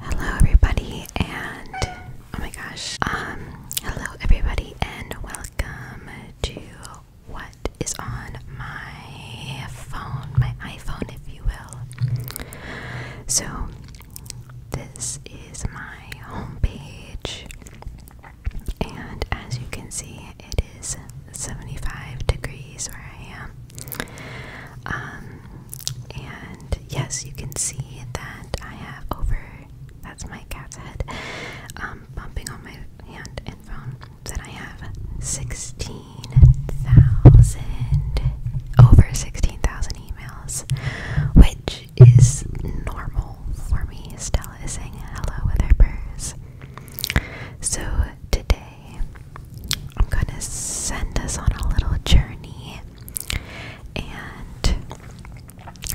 Hello everybody and oh my gosh. Um hello everybody and welcome to what is on my phone, my iPhone if you will. So this is my homepage and as you can see it is 75 degrees where I am. Um, and yes, you can see that I have over that's my cat's head um, bumping on my hand and phone that I have 16,000 over 16,000 emails, which is normal for me. Stella saying hello with her purse. So today I'm gonna send us on a little journey and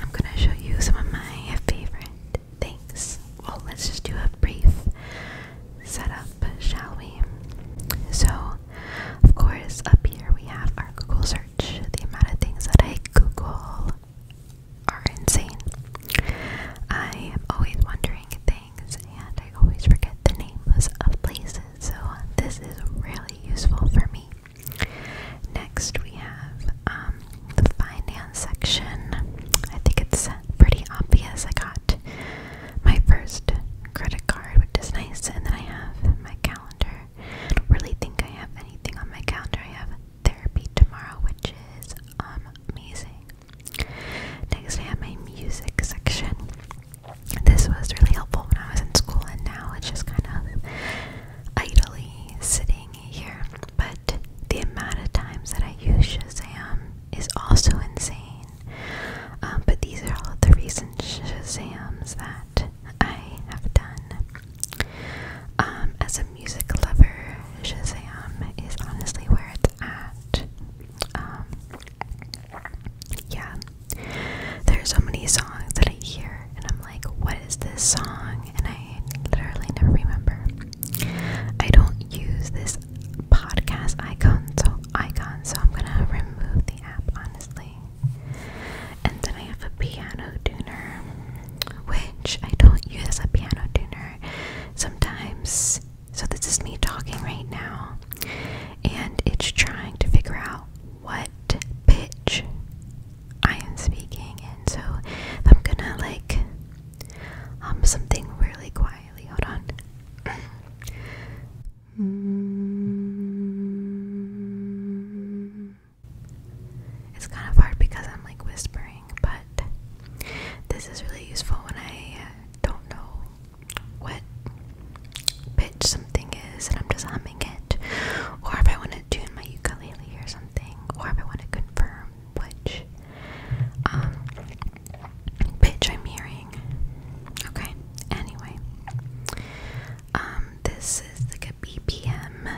I'm gonna show you some of my favorite things. Well, let's just do a brief setup, shall we? So, of course, up here we have our Google search. The amount of things that I Google are insane. I am always wondering and I always forget the names of places, so this is really useful for me. Next, we have um, the finance section. I think it's pretty obvious. I got my first credit card, which is nice, and then I have my calendar. I don't really think I have anything on my calendar. I have therapy tomorrow, which is amazing. Next, I have my music section this was really helpful when I was in school, and now it's just kind of idly sitting here. But the amount of times that I use Shazam is also insane. Um, but these are all the recent Shazams that I have done. Um, as a music lover, Shazam is honestly where it's at. Um, yeah. There so many songs that I hear and I'm like, what is this song? And I literally never remember. I don't use this podcast icon, so icon, so I'm gonna remove the app honestly. And then I have a piano tuner, which I don't use as a piano tuner. Sometimes so, this is me talking right now, and it's trying to figure out what pitch I am speaking in. So, I'm gonna like um something really quietly, hold on. It's kind of hard because I'm like whispering, but this is really useful when I don't know what pitch something is and I'm just humming it, or if I want to tune my ukulele or something, or if I want to confirm which um, pitch I'm hearing. Okay, anyway, um, this is like a BPM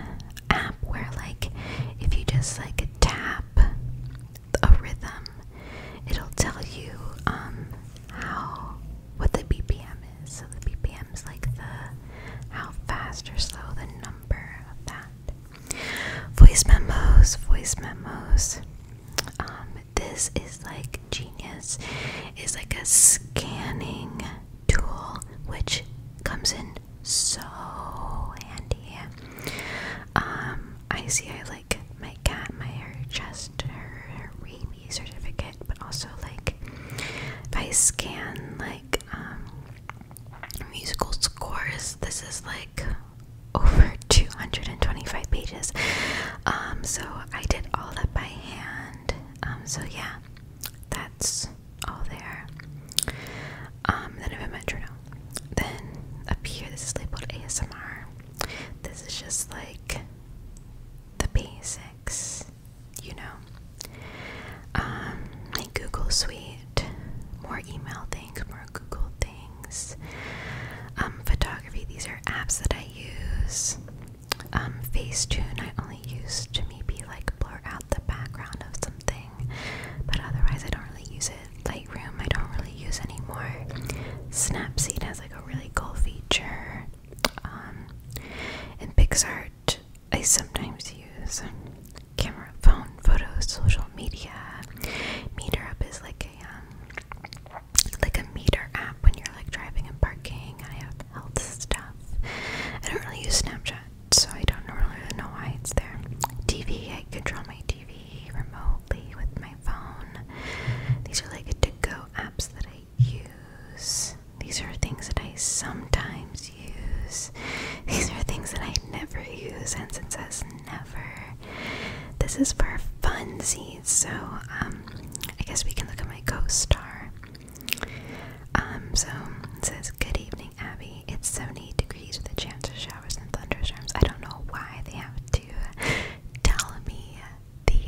app where, like, if you just like tap a rhythm. It'll tell you um, how what the BPM is. So the BPM is like the how fast or slow the number of that. Voice memos, voice memos. Um, this is like genius. Is like a scanning tool which comes in so handy. Um, I see I my cat, my her chest, her, her rabies certificate, but also like if I scan like um, musical scores, this is like over 225 pages. Um, so I did all that by hand. Um, so yeah, that's all there. then I have a metronome. Then up here, this is labeled ASMR. This is just like the basics, you know. like um, Google Suite, more email things, more Google things. Um, photography, these are apps that I use. Um, Facetune, I only use to maybe like blur out the background of something, but otherwise I don't really use it. Lightroom I don't really use anymore. Snapseed has like a really cool feature. Um, in and PixArt I sometimes use. Camera, phone, photos, social media. MeterUp is like a um, like a meter app when you're like driving and parking. I have health stuff. I don't really use Snapchat, so I don't really know why it's there. TV, I control my remotely with my phone. These are like to go apps that I use. These are things that I sometimes use. These are things that I never use, and since it says never, this is for funsies. So, um, I guess we can look at my co-star. Um, so it says, "Good evening, Abby. It's 70 degrees with a chance of shower." showers and thunderstorms. I don't know why they have to tell me the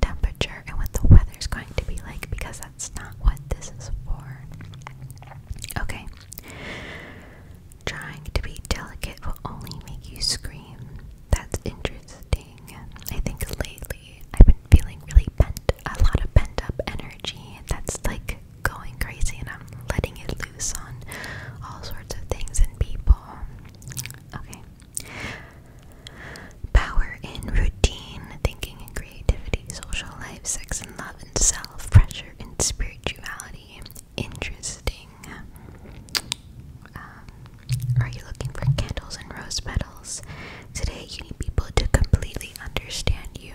temperature and what the weather's going to be like because that's not what this is for. Okay. Trying to be delicate will only make you scream. That's interesting. I think lately I've been feeling really bent, a lot of pent up energy. That's like going crazy and I'm letting it loose on all sorts of things and people. Okay. Power in routine, thinking and creativity, social life, sex and love and self, pressure and spirituality. Interesting. Um, are you looking for candles and rose petals? Today you need people to completely understand you,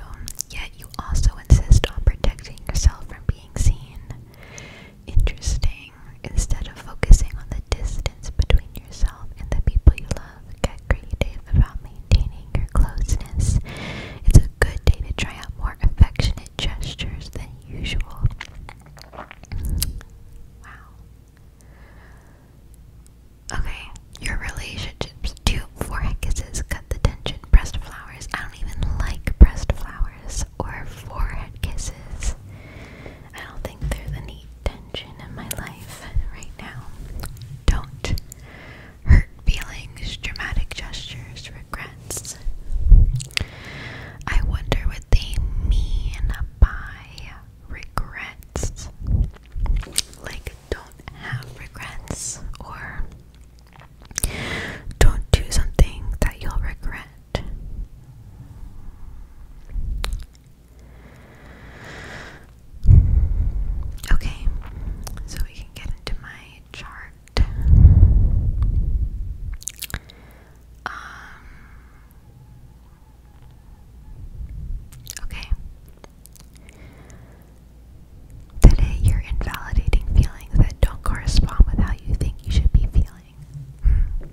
yet you also insist on protecting yourself from being seen. Interesting. Instead of focusing on the distance between yourself and the people you love, get creative about maintaining your closeness. It's a good day to try out more affectionate gestures than usual. Wow. Okay, your relationships. Two four heckuses the tension. Breast flowers. I don't even like breast flowers or forehead kisses. I don't think there's any tension in my life right now. Don't hurt feelings, dramatic gestures, regrets. I wonder what they mean by regrets. Like, don't have regrets or don't do something that you'll regret. Okay, so we can get into my chart. Um, okay. Today, you're invalidating feelings that don't correspond with how you think you should be feeling. Hmm.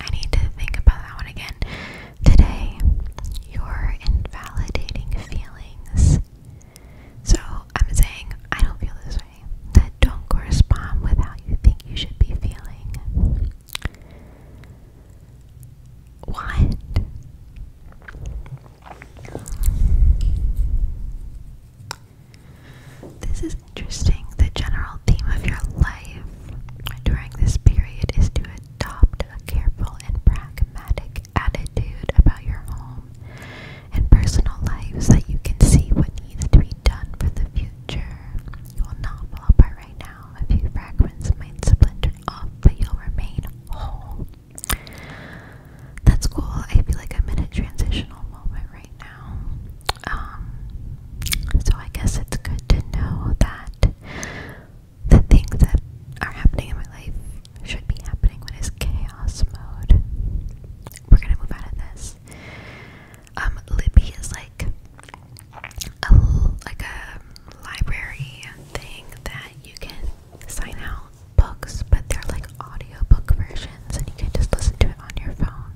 I need to think about that one again. Today, you're invalidating feelings. So, I'm saying, I don't feel this way. That don't correspond with how you think you should be feeling. What? This is interesting. The general theme of your life during this period is to adopt a careful and pragmatic attitude about your home and personal life so that you can see what needs to be done for the future. You will not fall apart right now. A few fragments might splinter off, but you'll remain whole. That's cool. I feel like a minute transitional moment right now. Um, so I guess it's good to know that the things that are happening in my life should be happening when it's chaos mode. We're gonna move out of this. Um, Libby is like a like a library thing that you can sign out books, but they're like audiobook versions and you can just listen to it on your phone.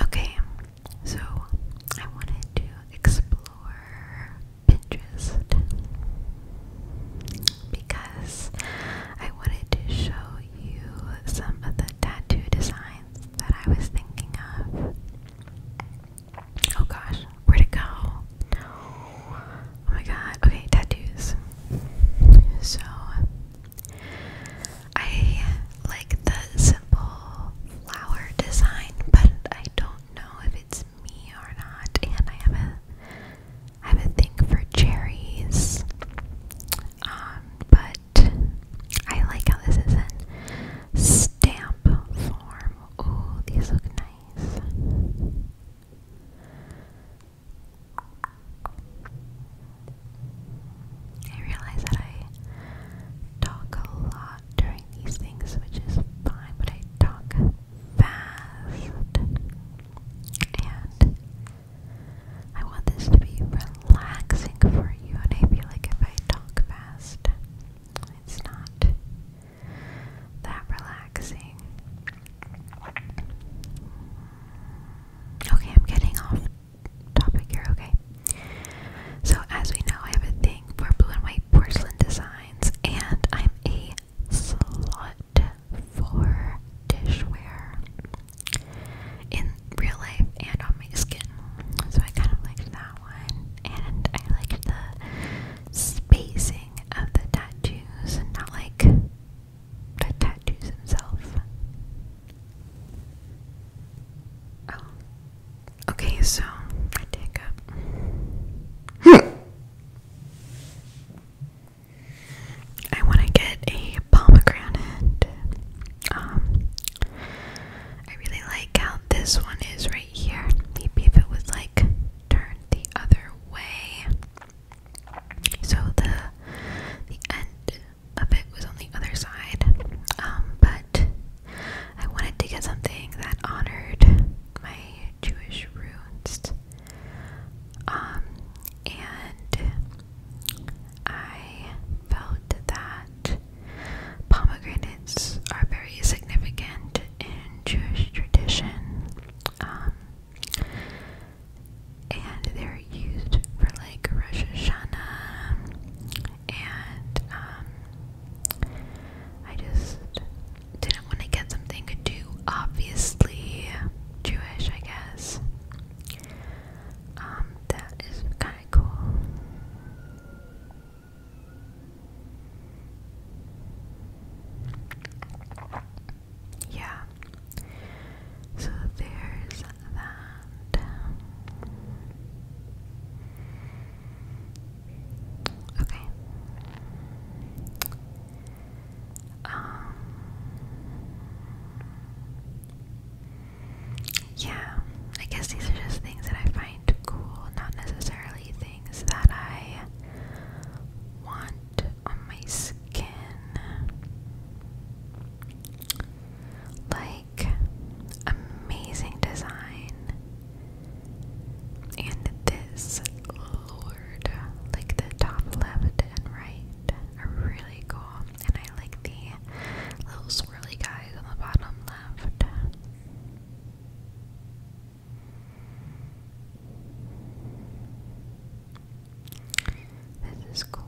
Okay, so I wanted to explore Pinterest because I wanted to show you some of the tattoo designs that I was thinking of. Oh gosh, where'd it go? Oh my god. Okay, tattoos. So I like the simple flower design, but I don't know if it's me or not. And I have a I have a thing for cherries. Um, but I like how this is in stamp form. Oh, these look nice. I realize that I talk a lot during these things, which is fine, but I talk fast. And I want this to be relaxing for you, and I feel like if I talk fast, it's not that relaxing. Okay, I'm getting off topic here, okay? So, as we know, I have a thing for blue and white porcelain designs, and I'm a slut for dishware in real life and on my skin. So, I kind of liked that one, and I liked the spacing of the tattoos and not like the tattoos themselves. Oh. Okay, so I take up. I want to get a pomegranate. Um, I really like how this one is right here. Maybe if it was like turned the other way. So the the end of it was on the other side. Um, but I wanted to get something that honored my Jewish roots. Um, and I felt that pomegranate are very significant in Jewish tradition, um, and they're used for like Rosh Hashanah, and um, I just didn't want to get something too obviously Jewish, I guess. Um, that is kind of cool. Yeah. So there's that. Okay. Um Yeah, I guess these are just things that I find cool, not necessarily things things that I want on my skin. Like amazing design. And this Lord, like the top left and right are really cool. And I like the little swirly guys on the bottom left. This is cool.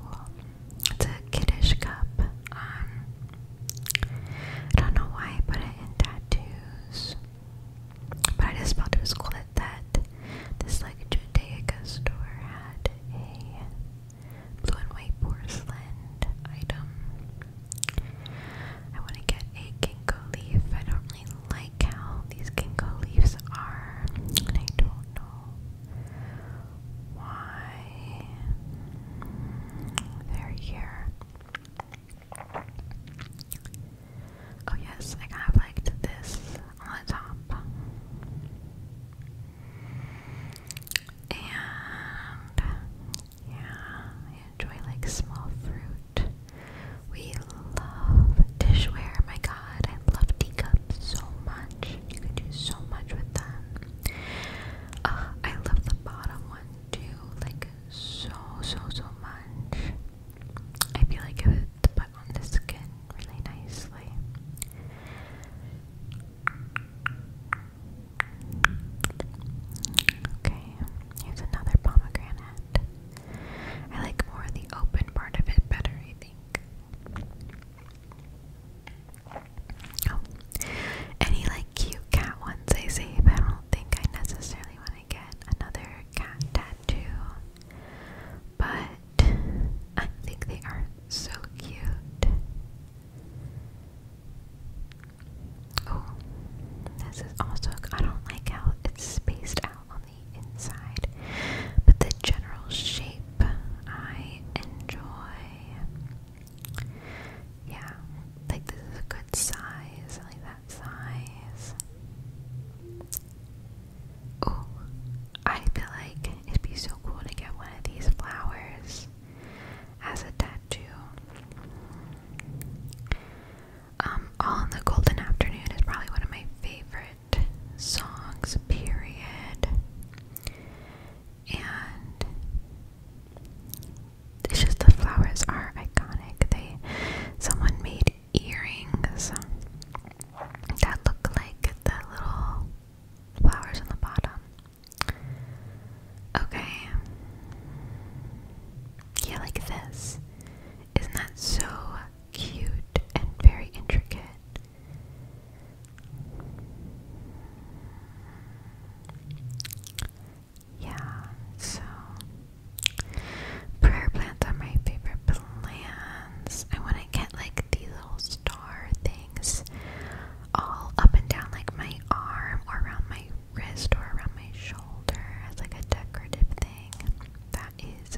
It's a kiddish cup. Um, I don't know why I put it in tattoos, but I just felt it was cool that that this like Judaica store had a blue and white porcelain item. I want to get a ginkgo leaf. I don't really like how these ginkgo leaves are, I don't know why they're here. Oh, yes, I kind of liked this on the top. And yeah, I enjoy like small fruit. We love dishware. My god, I love teacups so much. You can do so much with them. Ah, I love the bottom one too, like so, so, so much. I feel like it would put on the skin really nicely. Okay, here's another pomegranate. I like more the open part of it better, I think. Oh, any like cute cat ones I see, but I don't think I necessarily want to get another cat tattoo. But I think they are so cute. Oh, this is also, I don't like how it's spaced out on the inside, but the general shape I enjoy. Yeah, like this is a good size, like that size. Oh, I feel like it'd be so cool to get one of these flowers as a tattoo. Um, All in the Golden Afternoon is probably one of my favorite songs, period. And it's just the flowers are iconic. They someone made earrings that look like the little flowers on the bottom. Okay. Yeah, like this. Isn't that so cute and very intricate? Yeah, so prayer plants are my favorite plants. I want to get like these little star things all up and down like my arm or around my wrist or around my shoulder as like a decorative thing. That is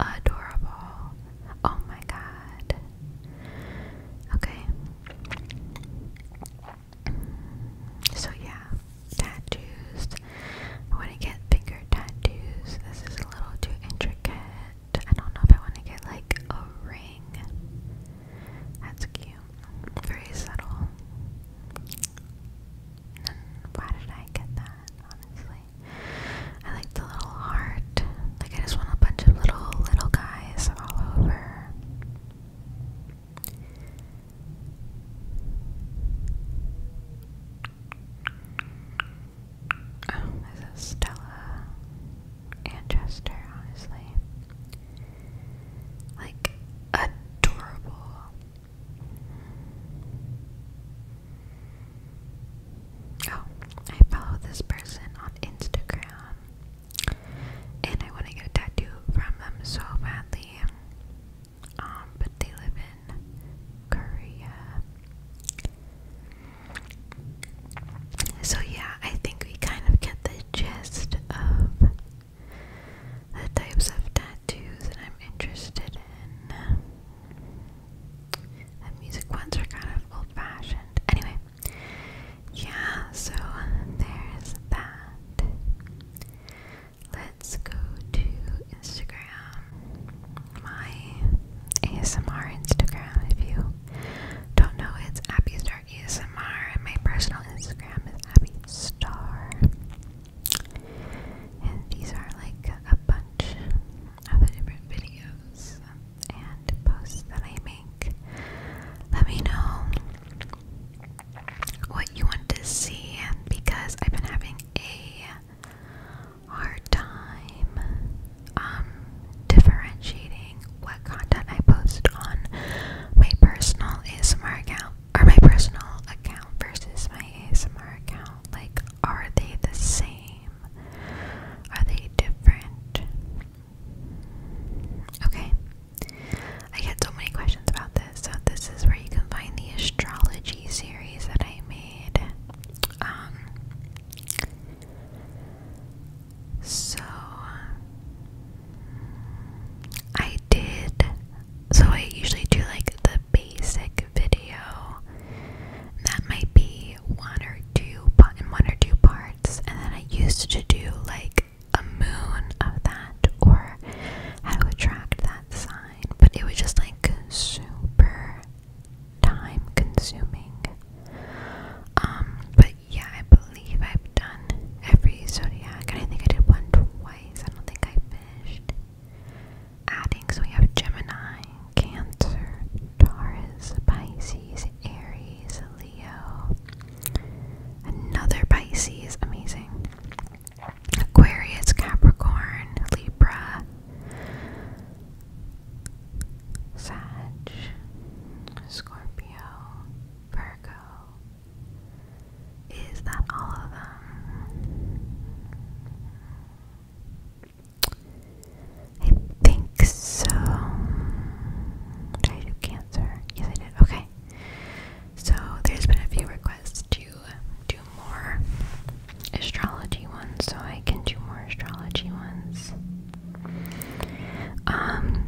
adorable. Oh my god. Okay. So yeah, tattoos. I want to get finger tattoos. This is a little too intricate. I don't know if I want to get like a ring. That's cute very subtle. why did I get that? Honestly, I like the little heart. Like I just want a bunch of little little guys all over. Oh, this is Stella and Chester, honestly. Like, adorable. Oh, I follow this person on Instagram. And I want to get a tattoo from them so badly. Um, but they live in Korea. So, yeah, I think we kind of get the gist of the types of tattoos that I'm interested in. The music ones are kind of old fashioned. Anyway, yeah, so there's that. Let's go to Instagram. My ASMR Instagram, if you don't know, it's Abby's Star and my personal Instagram is Abby Star. And these are like a bunch of different videos and posts that I make. Let me know what you want to see because I've been having a hard time um, differentiating what content I post on my personal ASMR account or my personal account versus my ASMR account. Like, are they the same? Are they different? Okay. I get so many questions about this, so this is where you can find the astrology series that I made. Um, so I did so I usually do like the basic video that might be one or two in one or two parts and then I used to do like a moon of that or how to attract that sign but it was just like super time consuming um, but yeah, I believe I've done every zodiac, and I think I did one twice. I don't think I finished adding. So we have Gemini, Cancer, Taurus, Pisces, Aries, Leo, another Pisces, amazing. Aquarius, Capricorn, Libra, Sag, Scorpio. Scorpio, Virgo. Is that all of them? I think so. Did I Cancer? Yes, I did. Okay. So there's been a few requests to do more astrology ones, so I can do more astrology ones. Um,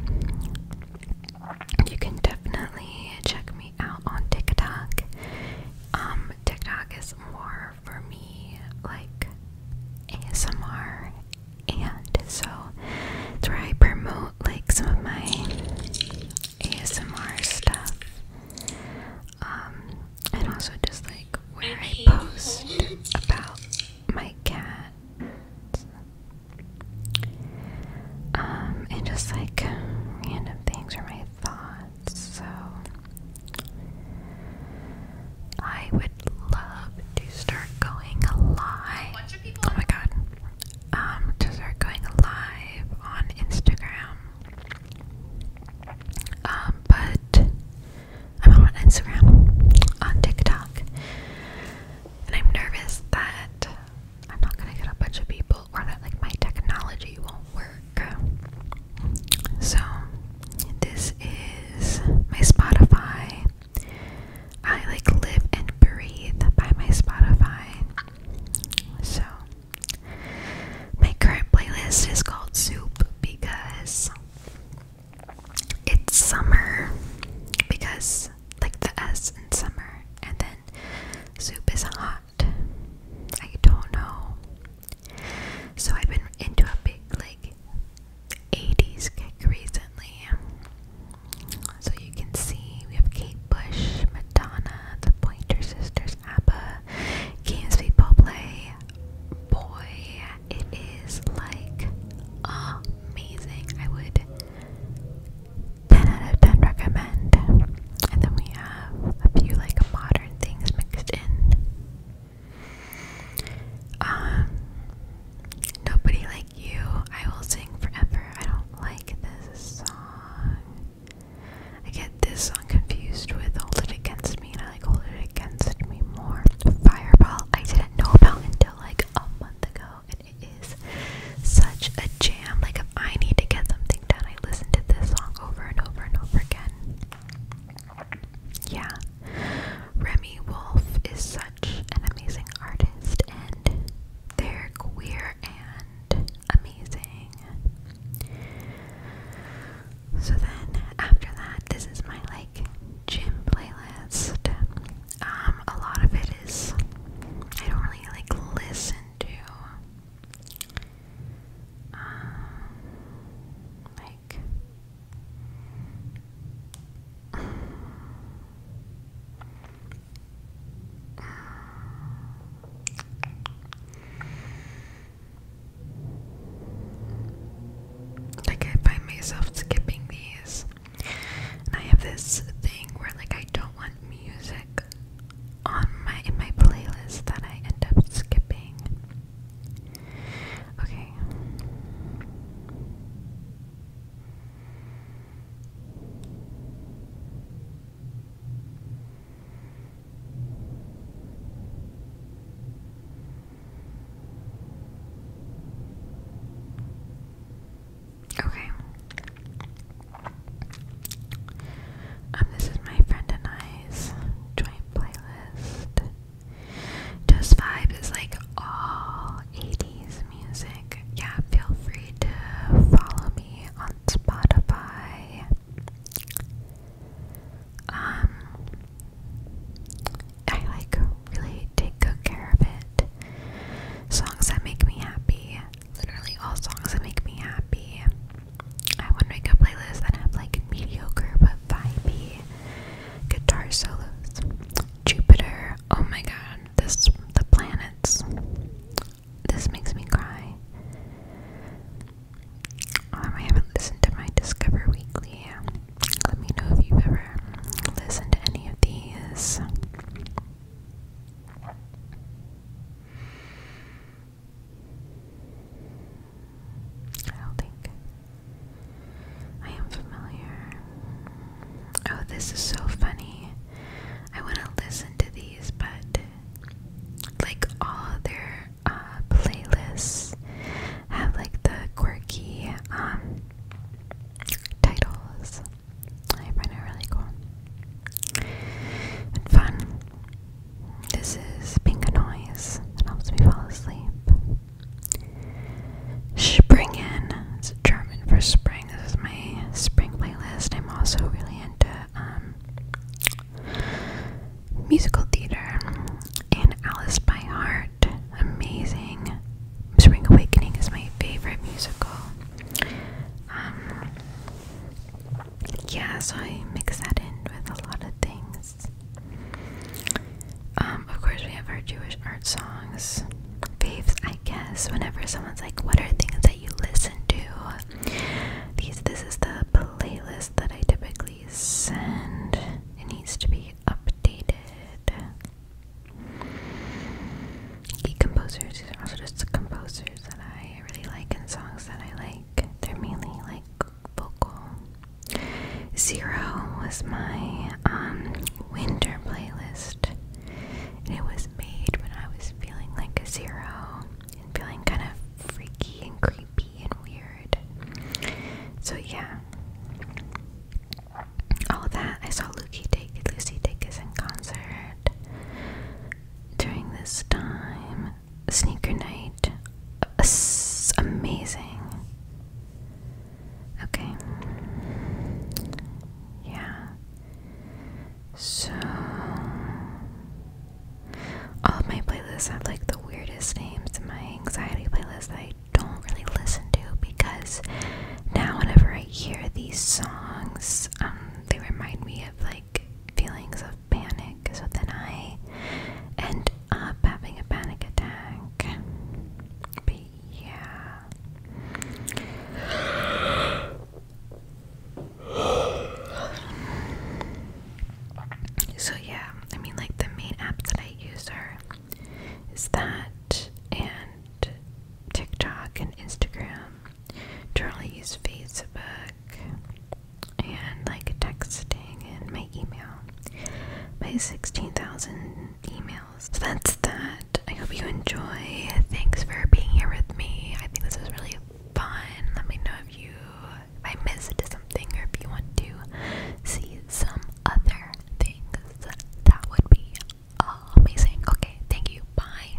you can definitely check me out on TikTok. Um, TikTok is more for me like ASMR, and so it's where I promote like some of my ASMR stuff. Um, and also just like where I post about my cat. Um, and just like random things are my thoughts, so I would love to start going live. Oh my god. Um, to start going live on Instagram. Um, but I'm on Instagram, on TikTok, and I'm nervous that I'm not gonna get a bunch of people or that like my technology won't work. So this is my Spotify. I like live and breathe by my Spotify. So my current playlist is called Soup because it's summer because like the S in summer and then soup is hot. I don't know. So I've been into a big like 80s kick recently. So you can see we have Kate Bush, Madonna, the Pointer Sisters, ABBA, Games People Play, Boy, it is like amazing. I would 10 out of 10 recommend. And then we have a few like modern things mixed in. Um, nobody like you. I will sing forever. I don't like this song. I get this song confused with "Hold It Against and I like hold it against me more. Fireball I didn't know about until like a month ago and it is such a jam. Like if I need to get something done, I listen to this song over and over and over again. Yeah. Remy Wolf is such an amazing artist and they're queer and amazing. So then after that, this is my like gym playlist. Um, a lot of it is I don't really like listen to. Um, like like I find myself skipping these. And I have this thing where like I don't want music on my in my playlist that I end up skipping. Okay. Okay. Um, this is my friend and I's joint playlist. Just Vibe is like all 80s music. Yeah, feel free to follow me on Spotify um, I like really take good care of it. Songs that make me happy, literally all songs that make me happy. I want to make a playlist that have like mediocre but vibey guitar solos. Jupiter, oh my god, this the planets. This makes me cry. Um, I haven't listened to my Discover Weekly. Let me know if you've ever listened to any of these. I don't think I am familiar. Oh, this is so funny. I want to listen to these, but like all their uh, playlists have like the quirky um, titles. I find it really cool and fun. This is pink noise that helps me fall asleep. Springen. It's German for spring. This is my spring playlist. I'm also really into um, musical theater, and Alice by Heart. Amazing. Spring Awakening is my favorite musical. Um, yeah, so I mix that in with a lot of things. Um, of course, we have our Jewish art songs. Faves, I guess, whenever someone's like, What are things that you listen to? These, this is the playlist that I typically release and it needs to be updated. composers, are also just composers that I really like and songs that I like. They're mainly like vocal. Zero was my um, winter playlist. And it was made when I was feeling like a zero and feeling kind of freaky and creepy and weird. So yeah. All that I saw Lucy take Lucy Dacus in concert during this time. Sneaker night, amazing. Okay, yeah. So all of my playlists have like the weirdest names. My anxiety playlist that I don't really listen to because now whenever I hear these songs, um, they remind me of like feelings of panic. So then I end up having a panic attack. But yeah. So yeah, I mean like the main apps that I use are is that and TikTok and Instagram. Generally use Facebook and like texting and my email. My 16,000 emails. So that's that. I hope you enjoy. Thanks for being here with me. I think this was really fun. Let me know if you if I missed something or if you want to see some other things, that would be amazing. Okay, thank you. Bye.